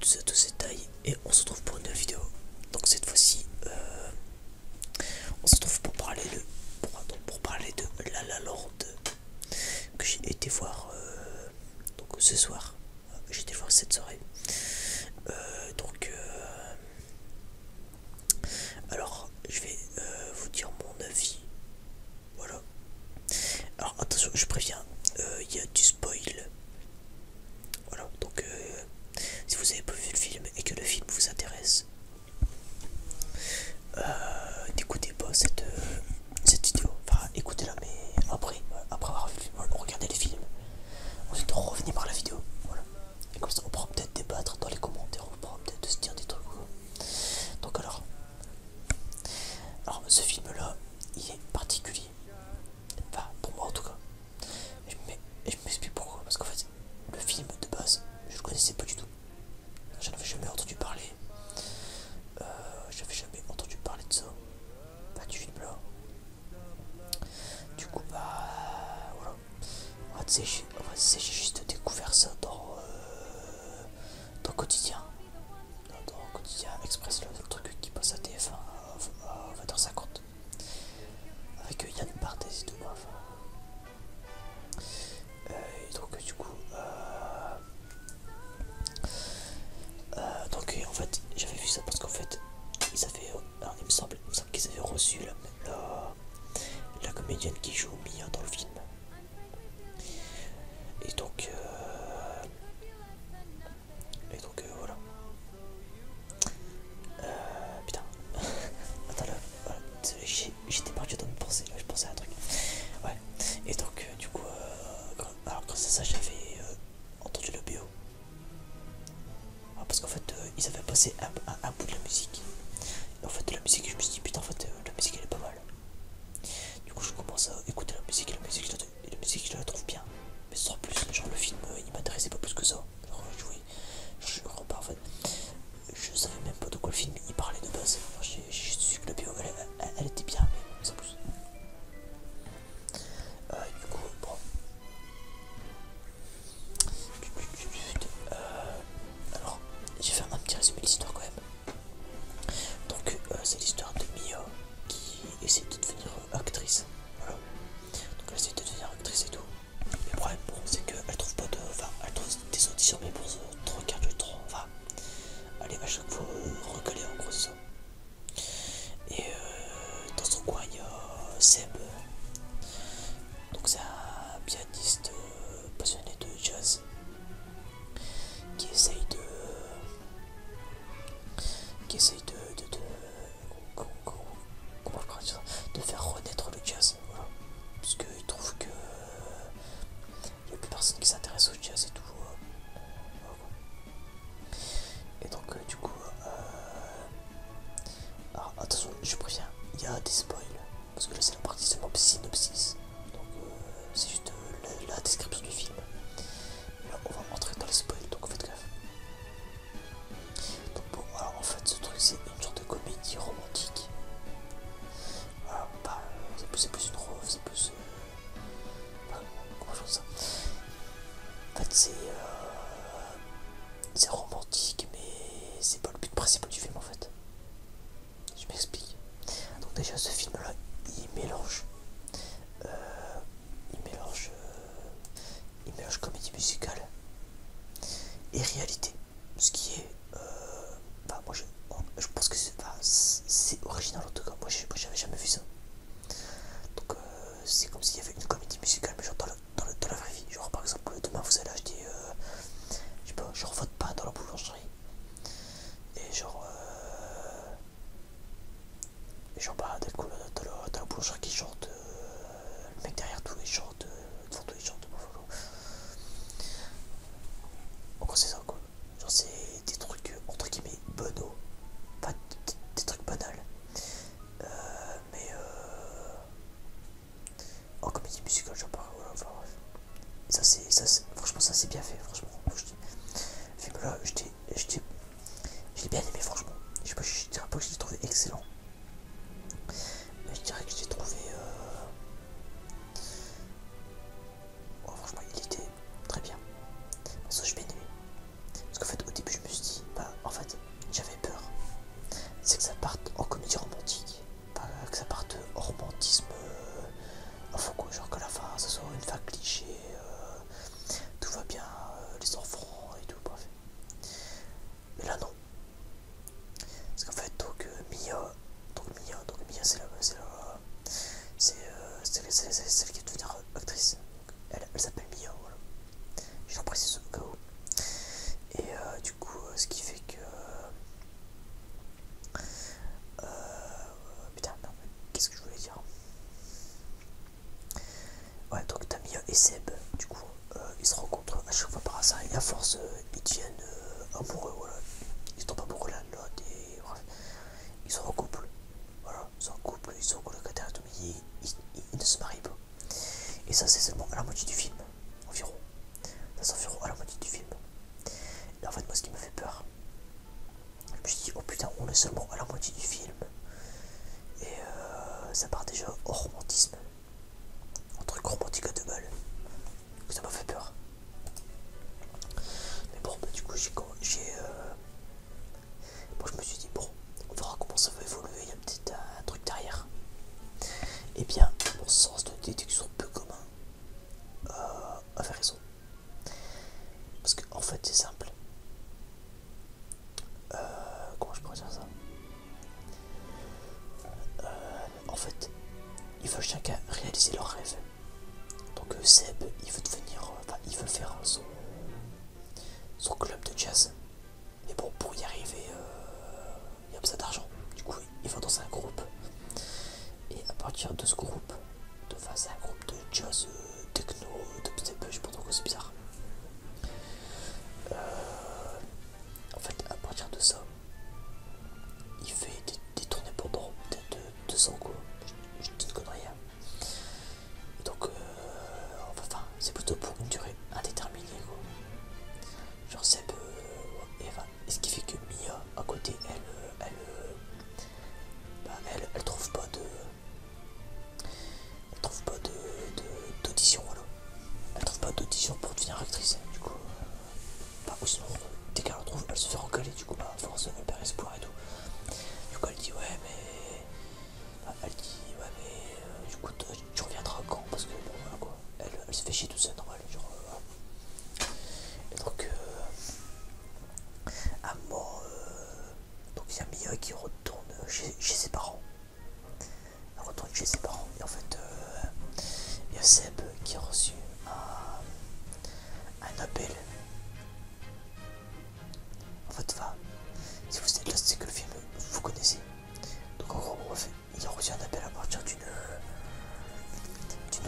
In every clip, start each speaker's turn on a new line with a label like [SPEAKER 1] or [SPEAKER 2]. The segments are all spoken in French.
[SPEAKER 1] tous et à tous c'est Thaï et on se retrouve pour une nouvelle vidéo. Donc cette fois-ci, euh, on se retrouve pour parler de pour, parler de La La que j'ai été voir euh, donc ce soir. Euh, j'étais voir cette soirée. Euh, donc, euh, alors, je vais vous dire mon avis. Voilà. Alors, attention, je préviens, il y a du spoil. Voilà, donc, si vous avez pas vu le film et que le film vous intéresse, n'écoutez pas cette, cette vidéo, enfin écoutez-la, mais après, euh, après avoir euh, regardé les films, ensuite revenez par la vidéo, voilà. Et comme ça, on pourra peut-être débattre dans les commentaires, on pourra peut-être se dire des trucs. Donc alors, alors ce film-là, il est particulier, enfin pour moi en tout cas. Et je m'explique pourquoi, parce qu'en fait, le film de base, je le connaissais pas du tout. J'en avais jamais entendu parler. Euh, j'avais jamais entendu parler de ça pas du fil blanc. Du coup, bah voilà. On va j'ai juste découvert découvrir ça dans, euh, dans quotidien. Dans, le quotidien express, le truc qui passe à TF1 à 20h50. Avec euh, Yann Barthès et tout. Enfin. Euh, et donc, du coup, euh, euh, donc euh, en fait j'avais vu ça parce qu'en fait ils avaient, euh, il me semble, qu'ils avaient reçu la, la, comédienne qui joue Mia dans le film. Et donc, euh, et donc voilà. putain, attends là, j'étais parti dans une pensée je pensais à un truc. Ouais, et donc du coup, alors grâce à ça j'avais entendu le bio ah, parce qu'en fait, euh, ils avaient passé un, bout de la musique. en fait, la musique, je me suis dit, putain, en fait, euh, la musique elle est pas mal. Du coup, je commence à écouter la musique, et la musique, musique je la trouve bien. Mais sans plus, genre le film, euh, il m'intéressait pas plus que ça. je je en fait. Je savais même pas de quoi le film il parlait de base. J'ai su que le bio, elle, était bien, mais sans plus. Euh, du coup, bon. Euh, alors, j'ai fait un petit résumé de l'histoire quand même. Donc, euh, c'est l'histoire de Mia qui essaie de devenir actrice. Voilà. Donc, elle essaie de devenir actrice et tout. Le problème, bon, c'est qu'elle trouve pas de. Enfin, elle trouve des auditions, mais pour 3 quarts du temps, enfin, elle vachement chaque fois euh, en gros, ça. Et euh, dans son coin, il y a Seb. Donc c'est un pianiste euh, passionné de jazz qui essaye de... qui de... de, faire renaître le jazz, puisqu'il trouve que... Il n'y a plus personne qui s'intéresse au jazz et tout. Euh, et donc, euh, du coup, euh... attention, je préviens, il y a des spoils parce que là c'est la partie seulement synopsis, donc euh, c'est juste euh, la, description du film. Là, on va rentrer dans les spoils, donc faites gaffe. Donc, bon, alors en fait, ce truc c'est une sorte de comédie romantique. Voilà, ah, bah, c'est plus, une c'est plus en fait, euh, c'est. romantique, mais c'est pas le but principal du film en fait. Je m'explique. Donc, déjà, ce film là, il mélange. Euh, il mélange. Euh, il mélange comédie musicale et réalité. Ce qui est. Bah, moi je, je pense que c'est original en tout cas. Moi j'avais jamais vu ça. Donc euh, c'est comme s'il y avait une comédie musicale, mais genre dans, la vraie vie. Genre par exemple, demain vous allez acheter, euh, je sais pas, genre votre pas dans la boulangerie. Et genre, euh, et genre bah, dans la, boulangerie qui chante, le mec derrière tous les chante, de devant tous les En c'est ça quoi. Genre c'est des trucs euh, entre guillemets bonaux. Pas des, trucs banals. Euh, mais euh... En oh, comédie musicale j'en parle, enfin Ça c'est. ça Franchement ça c'est bien fait, franchement. là, je l'ai bien aimé franchement. Je je dirais pas que je l'ai trouvé excellent. Mais je dirais que je l'ai trouvé. Euh... Oh, franchement, il était très bien. Parce que je bien Parce qu'en fait, au début, je me suis dit, bah, en fait, j'avais peur. C'est que ça parte en comédie romantique. Pas que ça parte en romantisme. Euh, enfin quoi, genre que la fin, ça soit une fin cliché. Euh, tout va bien, euh, les enfants et tout, bref. Mais là, non. Parce qu'en fait, donc, Mia. Donc Mia, donc Mia c'est la, c'est la, c'est c'est c'est qui va actrice. elle, s'appelle Mia, voilà. Je l'en c'est au cas où. Et euh, du coup, euh, ce qui fait que. Euh, putain, qu'est-ce que je voulais dire Ouais, donc t'as Mia et Seb, du coup, ils se rencontrent à chaque fois par hasard et à force, ils deviennent amoureux, voilà. Ils tombent amoureux l'un de l'autre et ils se en voilà, ils sont en couple, ils sont au et ils, ne se marient pas. Et ça, c'est seulement à la moitié du film, environ. Ça environ à la moitié du film. Et en fait, moi, ce qui me fait peur, je me suis dit, oh putain, on est seulement à la moitié du film. Et euh, ça part déjà au romantisme. Un truc romantique à deux balles. Ça m'a fait peur. Mais bon, bah, du coup, j'ai. Bon, euh, je me suis dit, bon, on verra comment ça va évoluer, il y a un petit truc derrière. et eh bien, mon sens de déduction peu commun a euh, avait raison. Parce que, en fait, c'est simple. Euh, comment je pourrais dire ça En fait, ils veulent chacun réaliser leur rêve donc euh, Seb, il veut devenir, euh, enfin, il veut faire son, son club de jazz. Et bon, pour y arriver, euh, il il a besoin d'argent. Du coup, il va dans un groupe. Et à partir de ce groupe, de face à un groupe de jazz, techno, techno, Seb, je pense que c'est bizarre. en fait, à partir de ça, il fait des, des tournées pendant peut-être 200 quoi. Je, ne dis une connerie. Hein donc, euh, c'est plutôt pour une durée indéterminée. Quoi. Genre Seb euh, Eva. ce qui fait que Mia, à côté, elle, euh, bah, elle, elle, trouve pas de, elle trouve pas de d'audition, voilà. Elle trouve pas d'audition pour devenir actrice. Du coup, dès qu'elle trouve, elle se fait recaler du coup bah force de perd espoir et tout. Du coup elle dit ouais mais euh, elle dit ouais mais du euh, coup euh, tu reviendras quand parce que quoi elle, se fait chier tout seul, normal et donc euh, à mort donc il y a Mia qui retourne chez, ses parents elle retourne chez ses parents et en fait il y a Seb qui a reçu un appel votre femme, si vous êtes là, c'est que le film vous connaissez. Donc en gros, Il a reçu un appel à partir d'une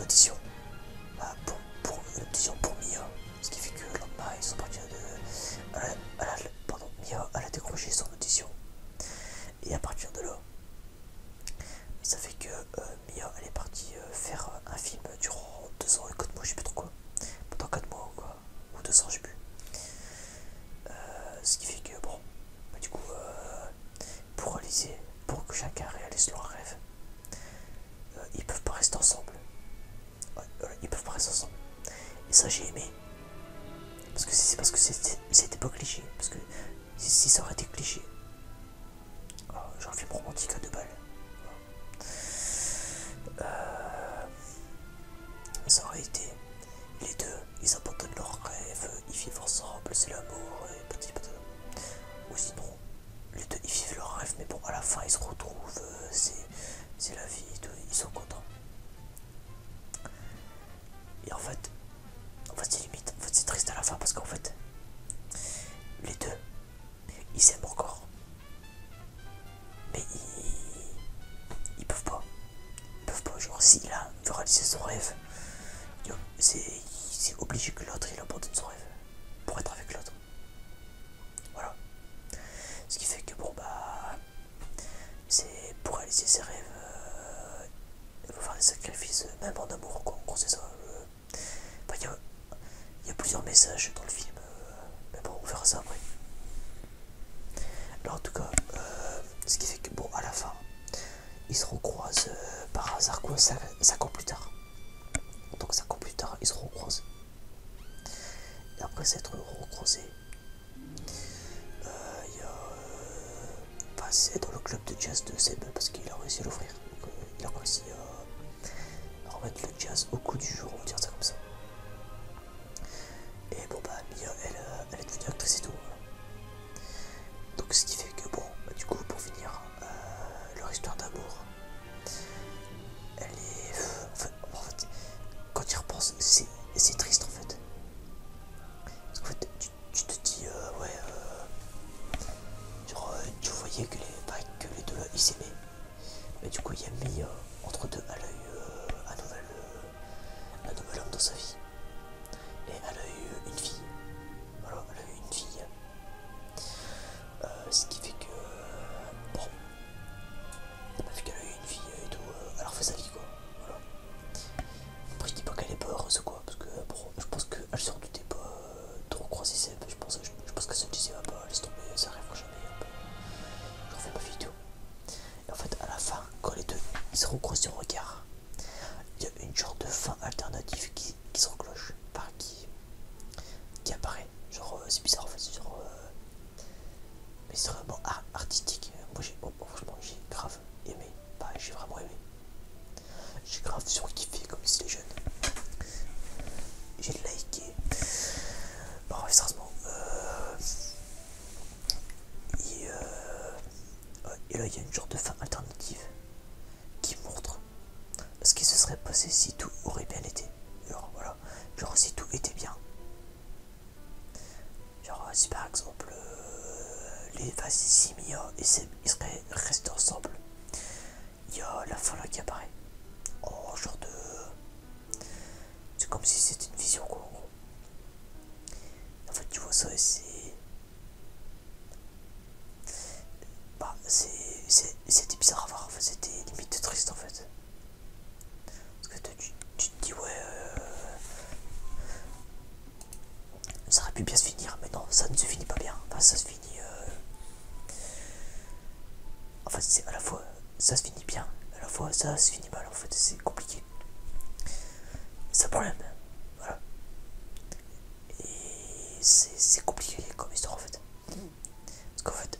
[SPEAKER 1] audition bah, pour, pour audition pour Mia. Ce qui fait que là ils sont partis de. pardon, Mia, a décroché son audition. Et à partir de là, ça fait que euh, euh, Mia elle est partie euh, faire euh, un film durant deux ans et 4 mois, je sais plus trop quoi. Pendant 4 mois ou quoi, ou deux ans, je sais plus. ce qui fait que bon, bah, du coup, pour réaliser, pour que chacun réalise leur rêve, ils peuvent pas rester ensemble. Ouais, ils peuvent pas rester ensemble. Et ça j'ai aimé. Parce que c'est parce que c'était pas cliché. Parce que si ça aurait été cliché. Genre un film romantique à deux balles. Mais euh, ça aurait les deux, ils abandonnent leurs rêves, ils vivent ensemble, c'est l'amour petit petit. Ou sinon, les deux ils vivent leurs rêves, mais bon, à la fin ils se retrouvent, euh, c'est la vie, ils sont contents. Et en fait, en fait c'est limite, en fait c'est triste à la fin parce qu'en fait, les deux ils s'aiment encore. Mais ils... Ils peuvent pas. Ils peuvent pas. Genre, si l'un veut réaliser son rêve, c'est obligé que l'autre il abandonne son rêve pour être avec l'autre. Voilà. Ce qui fait que, bon, bah... C'est pour réaliser ses rêves, euh, il faut faire des sacrifices, même en amour, quoi. c'est ça. Euh, il y, a plusieurs messages dans le film, euh, mais bon, on verra ça après. Alors, en tout cas, euh, ce qui fait que, bon, à la fin, ils se recroisent euh, par hasard, quoi, 5, ans plus tard. Donc, 5 ans plus tard, ils se recroisent. Et après s'être recroisés, c'est dans le club de jazz de Seb parce qu'il a réussi à l'ouvrir. Donc, il a réussi à, remettre le jazz au coup du jour, on va dire ça comme ça. Et bon, bah, euh, elle, est devenue actrice et tout. Donc, ce qui fait que, bon, bah, du coup, pour finir, euh, leur histoire d'amour, elle est. En fait, quand tu repenses, c'est triste en fait. Parce qu'en fait, tu, te dis, euh, ouais, genre, tu voyais que les, que les deux ils s'aimaient, Mais du coup il y a mis euh, entre deux à l'œil euh, euh, un, nouvel, homme dans sa vie. Et à l'œil une fille. Voilà, a eu une fille. ce qui fait que... bon. Vu qu'elle a eu une fille et tout, alors fais refait sa vie quoi. Voilà. Après je dis pas qu'elle est pas heureuse quoi, parce que bon, je pense qu'elle se du pas trop grossissait, je pense, que ça disait, pas elle est tomber, ça jamais, je refais ma vidéo. Et en fait, à la fin, quand les deux se recroisent sur le regard, il y a une sorte de fin alternative qui, se recloche, qui, apparaît. Genre, euh, c'est bizarre en fait, euh, mais c'est vraiment artistique. Moi, j'ai, oh, oh, franchement, j'ai grave aimé. j'ai vraiment aimé. J'ai grave surkiffé comme c'est les jeunes. J'ai liké. Bon, euh, Et, euh, Et là, il y a une genre de fin alternative qui montre ce qui se serait passé si tout aurait bien été. Genre, voilà. Genre, si tout était bien. Genre, euh, si par exemple les Vassisimia et Seb ils seraient restés ensemble, il y a la fin là qui apparaît. Oh, genre de. C'est comme si c'était une vision quoi, en fait, tu vois ça et c'est. Bah, c'était bizarre à voir, c'était limite triste en fait. Parce que tu, tu te dis, ouais. Euh, ça aurait pu bien se finir, mais non, ça ne se finit pas bien. ça se finit en fait euh, c'est à la fois ça se finit bien, à la fois ça se finit mal. En fait, c'est compliqué. C'est un problème. Voilà. Et c'est compliqué comme histoire en fait. Parce qu'en fait,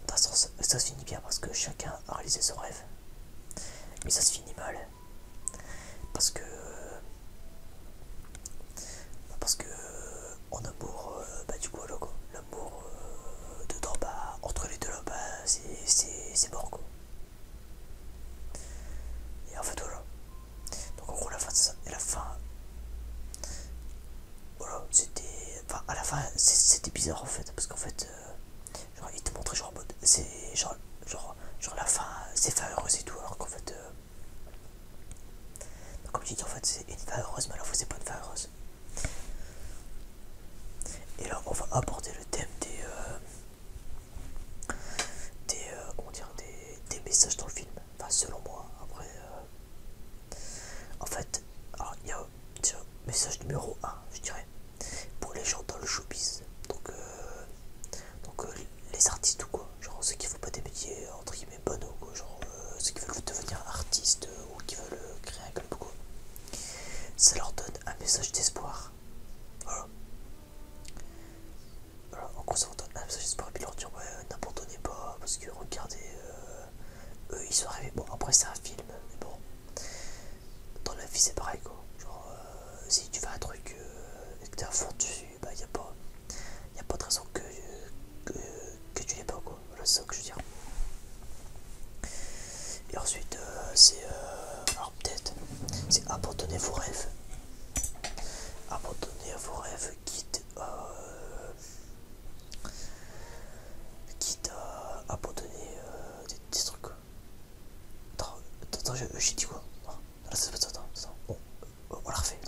[SPEAKER 1] ça se finit bien parce que chacun a réalisé son rêve. Mais ça se finit mal. Parce que. Parce que en amour euh, bah, du coup là quoi l'amour euh, de Dorba entre les deux là bah c'est c'est, mort quoi et en fait voilà donc en gros la fin c'est ça et la fin voilà c'était enfin à la fin c'était bizarre en fait parce qu'en fait euh, genre il te montrait genre c'est genre genre genre la fin c'est fin heureuse et tout alors qu'en fait comme je dis en fait c'est une fin heureuse mais à la c'est pas une fin heureuse Et là on va aborder le thème des euh, euh, des, des, messages dans le film. Enfin selon moi après euh, en fait il y a un message numéro 1 je dirais pour les gens dans le showbiz donc, donc les artistes ou quoi genre ceux qui font pas des métiers entre guillemets ou quoi, genre euh, ceux qui veulent devenir artistes euh, ou qui veulent euh, créer un club, quoi. Ça leur donne un message d'espoir. Voilà. En gros, ça leur donne un message d'espoir et puis leur dire, ouais, n'abandonnez pas parce que regardez, eux ils sont arrivés. Bon, après, c'est un film, mais bon, dans la vie c'est pareil, quoi. Genre, si tu fais un truc et que t'es à fond dessus, bah, y a pas. Il n'y a pas de raison que, que, tu l'aies pas, quoi. le c'est ça que je veux dire. Et ensuite, euh, c'est. Euh, peut-être, c'est abandonner vos rêves. Abandonner vos rêves, quitte euh, quitte à abandonner des, trucs. Attends, j'ai dit quoi non, ah, attends, attends, ça. ça euh, on la refait.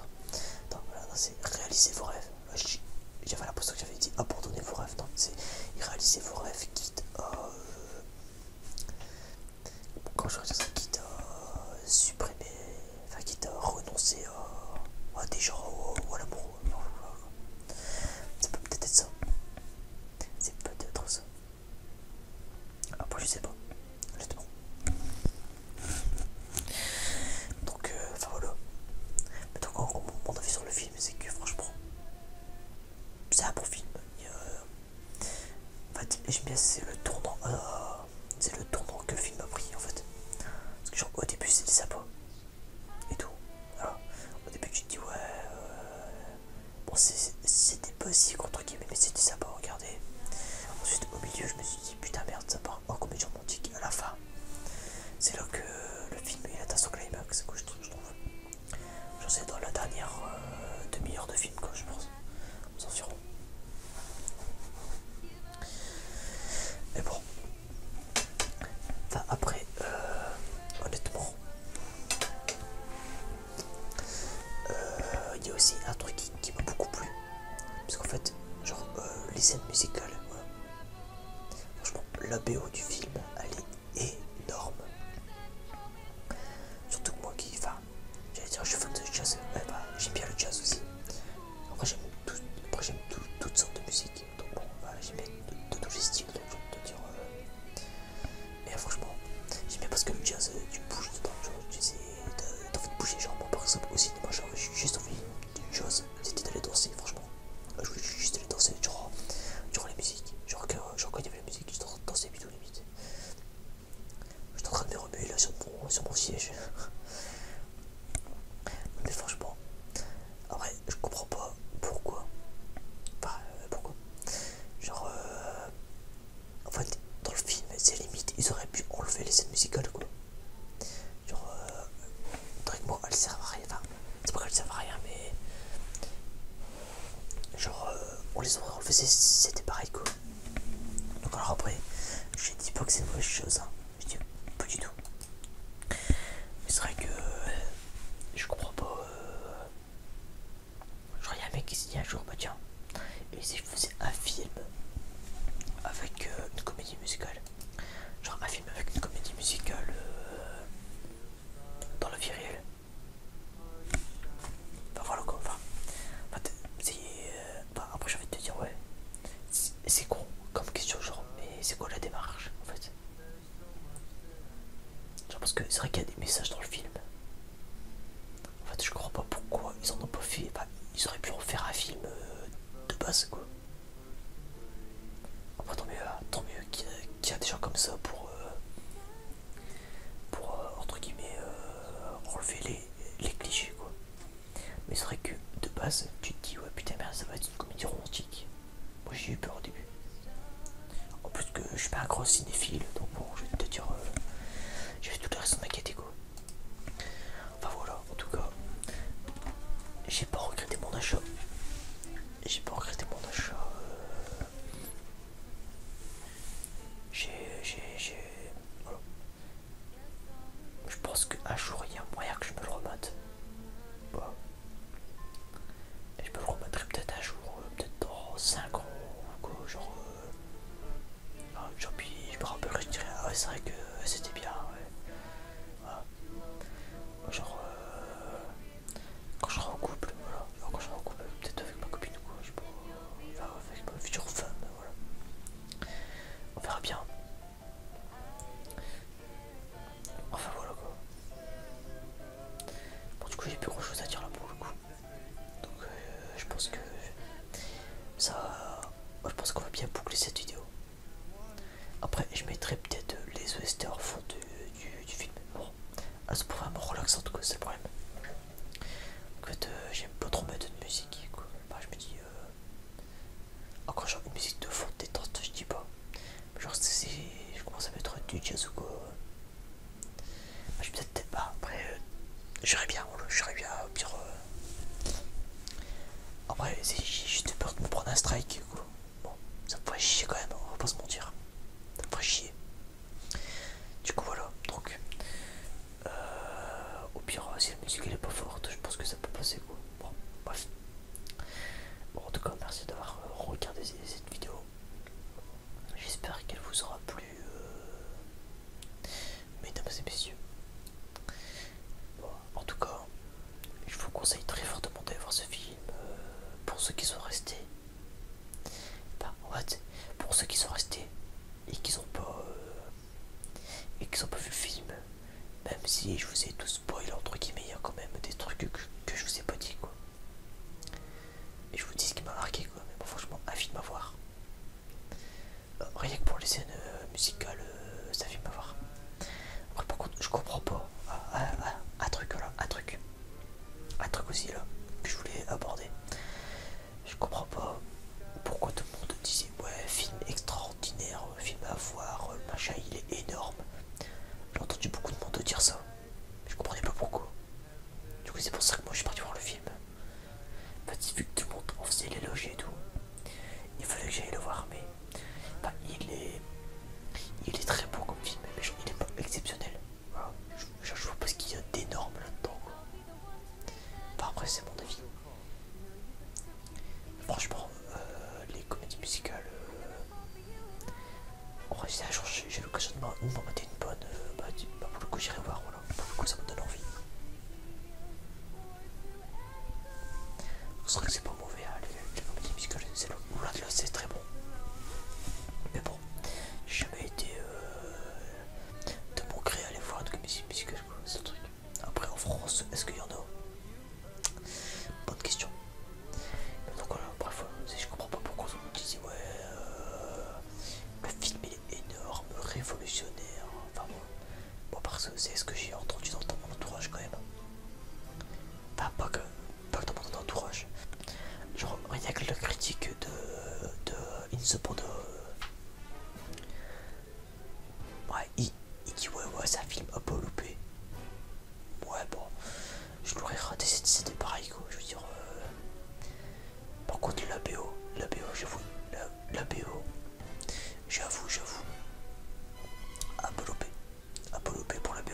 [SPEAKER 1] non. voilà, c'est réalisez vos rêves. J'avais l'impression que j'avais dit abandonner vos rêves. Non, c'est réalisez vos rêves, quitte à. Euh, quand je ça, quitte à euh, supprimer. Enfin, quitte à renoncer à, des gens ou, à l'amour. Ça peut peut-être être ça. C'est peut-être ça. Après, je sais pas justement. Donc, euh, voilà. donc, en mon avis sur le film, c'est que franchement, c'est un bon film. Euh, en fait, j'aime bien, c'est le tournant. Euh, c'est le tournant que le film a pris en fait. Parce que genre au début c'est des sabots et tout. Au début j'ai dit ouais bon c'était pas si contre guillemets mais c'est des regardez. Ensuite au milieu je me suis dit putain merde ça part en, comédie romantique à la fin. C'est là que le film est atteint son climax, que je, je trouve. je sais dans la dernière euh, demi-heure de film, quoi, je pense. s'en Mais bon. Enfin, après, euh, honnêtement, euh, il y a aussi un truc qui m'a beaucoup plu. Parce qu'en fait, genre, euh, les scènes musicales, Franchement, la BO du film, elle est énorme. Surtout que moi qui, enfin, j'allais dire, je suis fan de jazz, bah, j'aime bien le jazz aussi. Après, j'aime toutes sortes de musique, donc bon, bah, j'aime bien de tous les styles, te dire. Euh. Euh, franchement, j'aime bien parce que le jazz, tu bouges dedans, tu sais, de, de bouger. Genre, moi par exemple, aussi, moi j'aurais juste envie d'une chose, c'était d'aller danser, franchement. Je voulais juste aller danser, genre, durant les musiques. Genre, genre quand il y avait la musique, j'étais en train de danser, bidou limite. J'étais en train de me remuer là sur mon, siège. Mais franchement, après, je comprends pas pourquoi. Enfin, euh, pourquoi Genre, euh, en fait, dans le film, c'est limite, ils auraient pu enlever les scènes musicales, quoi. Genre, euh, Elles elle servent à rien, enfin, c'est pas qu'elle servent à rien, mais genre, euh, on les aurait si c'était pareil quoi. Donc, alors après, je dis pas que c'est une mauvaise chose, hein. je dis pas du tout. Mais c'est vrai que euh, je comprends pas. Euh, genre, il y un mec qui se dit un jour, bah tiens, et si je faisais un film avec euh, une comédie musicale Genre un film avec une comédie musicale euh, dans la vie réelle voilà quoi, euh, enfin, après j'ai envie de te dire ouais, c'est con comme question genre, mais c'est quoi la démarche en fait Genre parce que c'est vrai qu'il y a des messages dans le film en fait, je crois pas pourquoi ils en ont pas fait. ils auraient pu en faire un film euh, de base, quoi. enfin tant mieux, euh, tant qu'il y, a des gens comme ça pour, euh, pour entre guillemets, enlever les, clichés, quoi. Mais c'est vrai que de base, tu te dis, ouais, putain, merde, ça va être une comédie romantique. Moi, j'ai eu peur au début. En plus que je suis pas un gros cinéphile, donc bon, je vais te dire, j'avais j'ai tout le reste de ma quoi Enfin voilà, en tout cas, j'ai pas regretté mon achat. J'ai pas regretté mon achat. Euh, j'ai, J'ai. Voilà. Je pense qu'un jour il y a moyen que je me le remette. je peux le remettrai peut-être un jour, euh, peut-être dans 5 ans ou genre. Euh, ah, je me rappellerai, je dirais, ah c'est vrai que euh, c'était bien, ouais. Genre, euh, quand je serai en couple, voilà. quand je serai en couple, peut-être avec ma copine ou quoi, je sais Enfin, avec ma future femme, voilà. On verra bien. Enfin, voilà quoi. Bon, du coup, j'ai plus grand chose à dire là pour le coup. Donc, euh, je pense que ça je pense qu'on va bien boucler cette vidéo. Après, je mettrai peut-être euh, les westers au du, du, film. Bon, elles sont vraiment tout cas, c'est le problème. En fait, euh, j'aime pas trop mettre de musique, quoi. je me dis. Euh, encore une musique de fond détente, je dis pas. Genre, si je commence à mettre du jazz ou quoi. Ah, je vais peut-être. pas, après, J'irai bien, j'irai bien, au pire. Euh. Après, j'ai juste peur de me prendre un strike. Bon, ça me ferait chier quand même, on va pas se mentir. Ça me chier. Du coup, voilà. Donc, euh, au pire, si la musique elle est pas forte, je pense que ça peut passer. Quoi. Bon, en tout cas, merci d'avoir euh, regardé cette vidéo. J'espère qu'elle vous aura plu mesdames et messieurs. en tout cas, je vous conseille très fortement d'aller voir ce film euh, pour ceux qui sont restés. en fait, pour ceux qui sont restés et qui n'ont pas euh, et qui sont pas vu le film, même si je vous ai tous spoilé entre guillemets, il y a quand même des trucs que, que je vous ai pas dit quoi. Et je vous dis ce qui m'a marqué quoi, mais bon, franchement, avis de m'avoir. Euh, rien que pour les scènes euh, musicales, euh, ça fait voir. Après, par contre, je comprends pas ah, ah, ah, un truc là, un truc, un truc aussi là que je voulais aborder. Je comprends pas pourquoi tout le monde disait ouais, film extraordinaire, film à voir, machin il est énorme. J'ai entendu beaucoup de monde dire ça, je comprenais pas pourquoi. Du coup, c'est pour ça que moi je suis parti voir le film. Petit vu que tout le monde en faisait logiques et tout, il fallait que j'aille le voir, mais bah, il est il est très beau comme film, mais il est pas exceptionnel. Je, vois pas ce qu'il y a d'énorme là-dedans. après, c'est mon avis. Franchement, euh, les comédies musicales. on euh, En vrai, j'ai l'occasion de m'en mettre une bonne, euh, bah, bah, pour le coup, j'irai voir pour le coup ça me donne envie. C'est vrai que c'est pas mauvais, hein, les, les comédies musicales, c'est là, là c'est très bon. Mais bon, j'ai jamais été euh, de mon gré à les voir une comédie c'est le truc. Après en France, est-ce qu'il y en a Bonne question. Mais donc voilà, bref, je comprends pas pourquoi ils me ouais, euh, le film énorme, révolutionnaire. Enfin bon, parce que c'est ce que j'ai entendu dans, tout mon entourage quand même. Enfin, pas que, pas que dans mon entourage. Genre, il y a que le critique de, de In Ouais, il, dit ouais, ouais, ça film un peu loupé. Ouais, bon, je l'aurais raté, c'était pareil quoi. Je veux dire, pour euh, par contre, la BO, la BO, je la, BO. J'avoue, j'avoue. un peu pour la BO.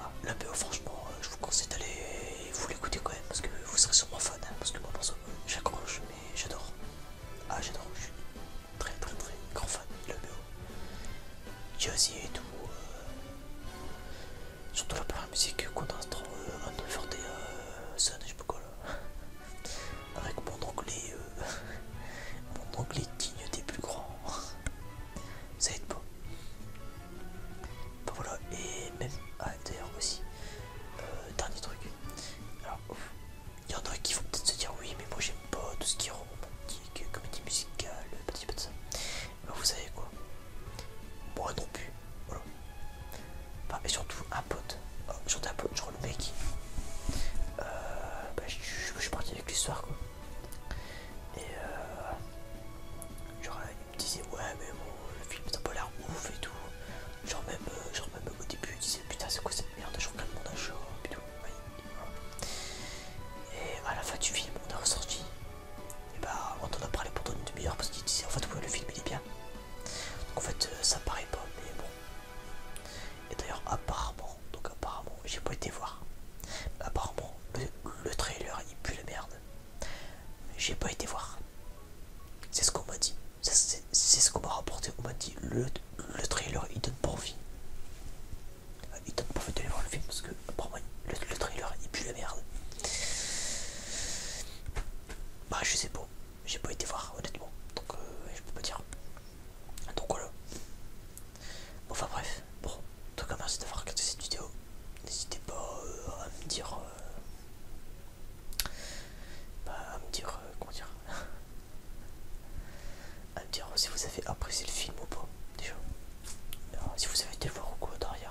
[SPEAKER 1] Ah, la BO, franchement, euh, je vous conseille d'aller vous l'écouter quand même parce que vous serez sûrement fan. Hein, parce que moi, perso, j'accroche, mais j'adore. Ah, j'adore, je suis très très très grand fan de la BO. et tout. Euh, Surtout la première musique qu'on a euh, Unforte euh, Sun, je sais pas quoi là. Avec mon anglais, mon anglais digne des plus grands. Ça aide pas. Bah voilà, et même, à d'ailleurs aussi, dernier truc. Alors, il y en a qui vont peut-être se dire oui, mais moi j'aime pas tout ce qui est romantique, comédie musicale, petit peu de ça. Bah, vous savez quoi moi non plus voilà et surtout un pote ah, surtout un pote genre le mec euh, bah, je, suis parti avec l'histoire quoi et euh, genre il me disait ouais mais bon le film un pas l'air ouf et tout genre même euh, genre même au début il disait putain c'est quoi cette merde je regarde mon achat et tout et à la fin du film on est ressorti et eh bah ben, on en a parlé pendant une demi-heure parce qu'il disait en fait le film il est bien. en fait euh, ça paraît pas mais bon. Et d'ailleurs apparemment, donc apparemment, j'ai pas été voir. Apparemment le, trailer il pue la merde. J'ai pas été voir. C'est ce qu'on m'a dit. C'est ce qu'on m'a rapporté. On m'a dit le, trailer il donne pas envie. Il donne pas envie d'aller voir le film parce que apparemment le trailer il pue la merde. Bah, je sais pas, j'ai pas été voir honnêtement, donc euh, je peux pas dire. Donc voilà. enfin bref, bon, en tout cas merci d'avoir regardé cette vidéo. N'hésitez pas euh, à me dire. Euh, bah, à me dire, comment dire À me dire si vous avez apprécié le film ou pas, déjà. si vous avez été voir ou quoi derrière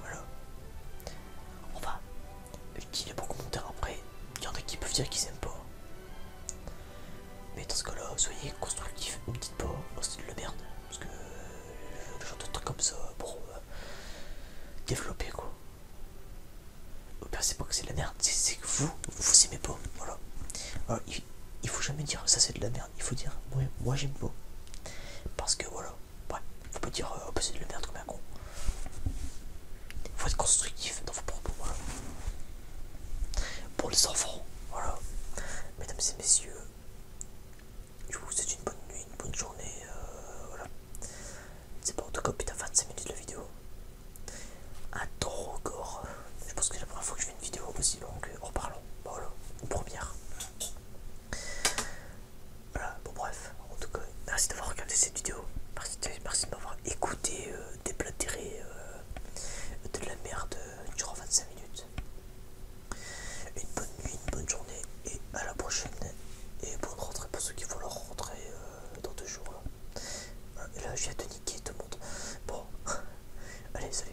[SPEAKER 1] voilà. On va utiliser de commentaire après. Il y en a qui peuvent dire qu'ils aiment pas. Mais dans ce cas-là, soyez constructifs, ne dites pas, c'est de la merde. Parce que euh, genre de truc comme ça, pour euh, développer quoi. vous pensez pas que c'est de la merde, c'est que vous, vous aimez pas. Voilà. Ah, il, il faut jamais dire ça, c'est de la merde il faut dire moi j'aime beau. Parce que voilà, ouais, faut pas dire c'est euh, de le mettre comme un con. Il Faut être constructif dans vos propos, Pour les enfants, voilà. Mesdames et messieurs, je vous souhaite une bonne nuit, une bonne journée, euh, voilà. C'est pas en tout cas, putain, 25 minutes de la vidéo. Un trop record. Je pense que c'est la première fois que je fais une vidéo aussi longue en parlant. Voilà, une première. Voilà, bon bref, en tout cas, merci d'avoir regardé cette vidéo, merci de, m'avoir écouté euh, des euh, de la merde euh, durant 25 minutes. Une bonne nuit, une bonne journée et à la prochaine et bonne rentrée pour ceux qui vont leur rentrer dans deux jours. Là, hein. et là je de niquer tout le monde. Bon, allez, salut.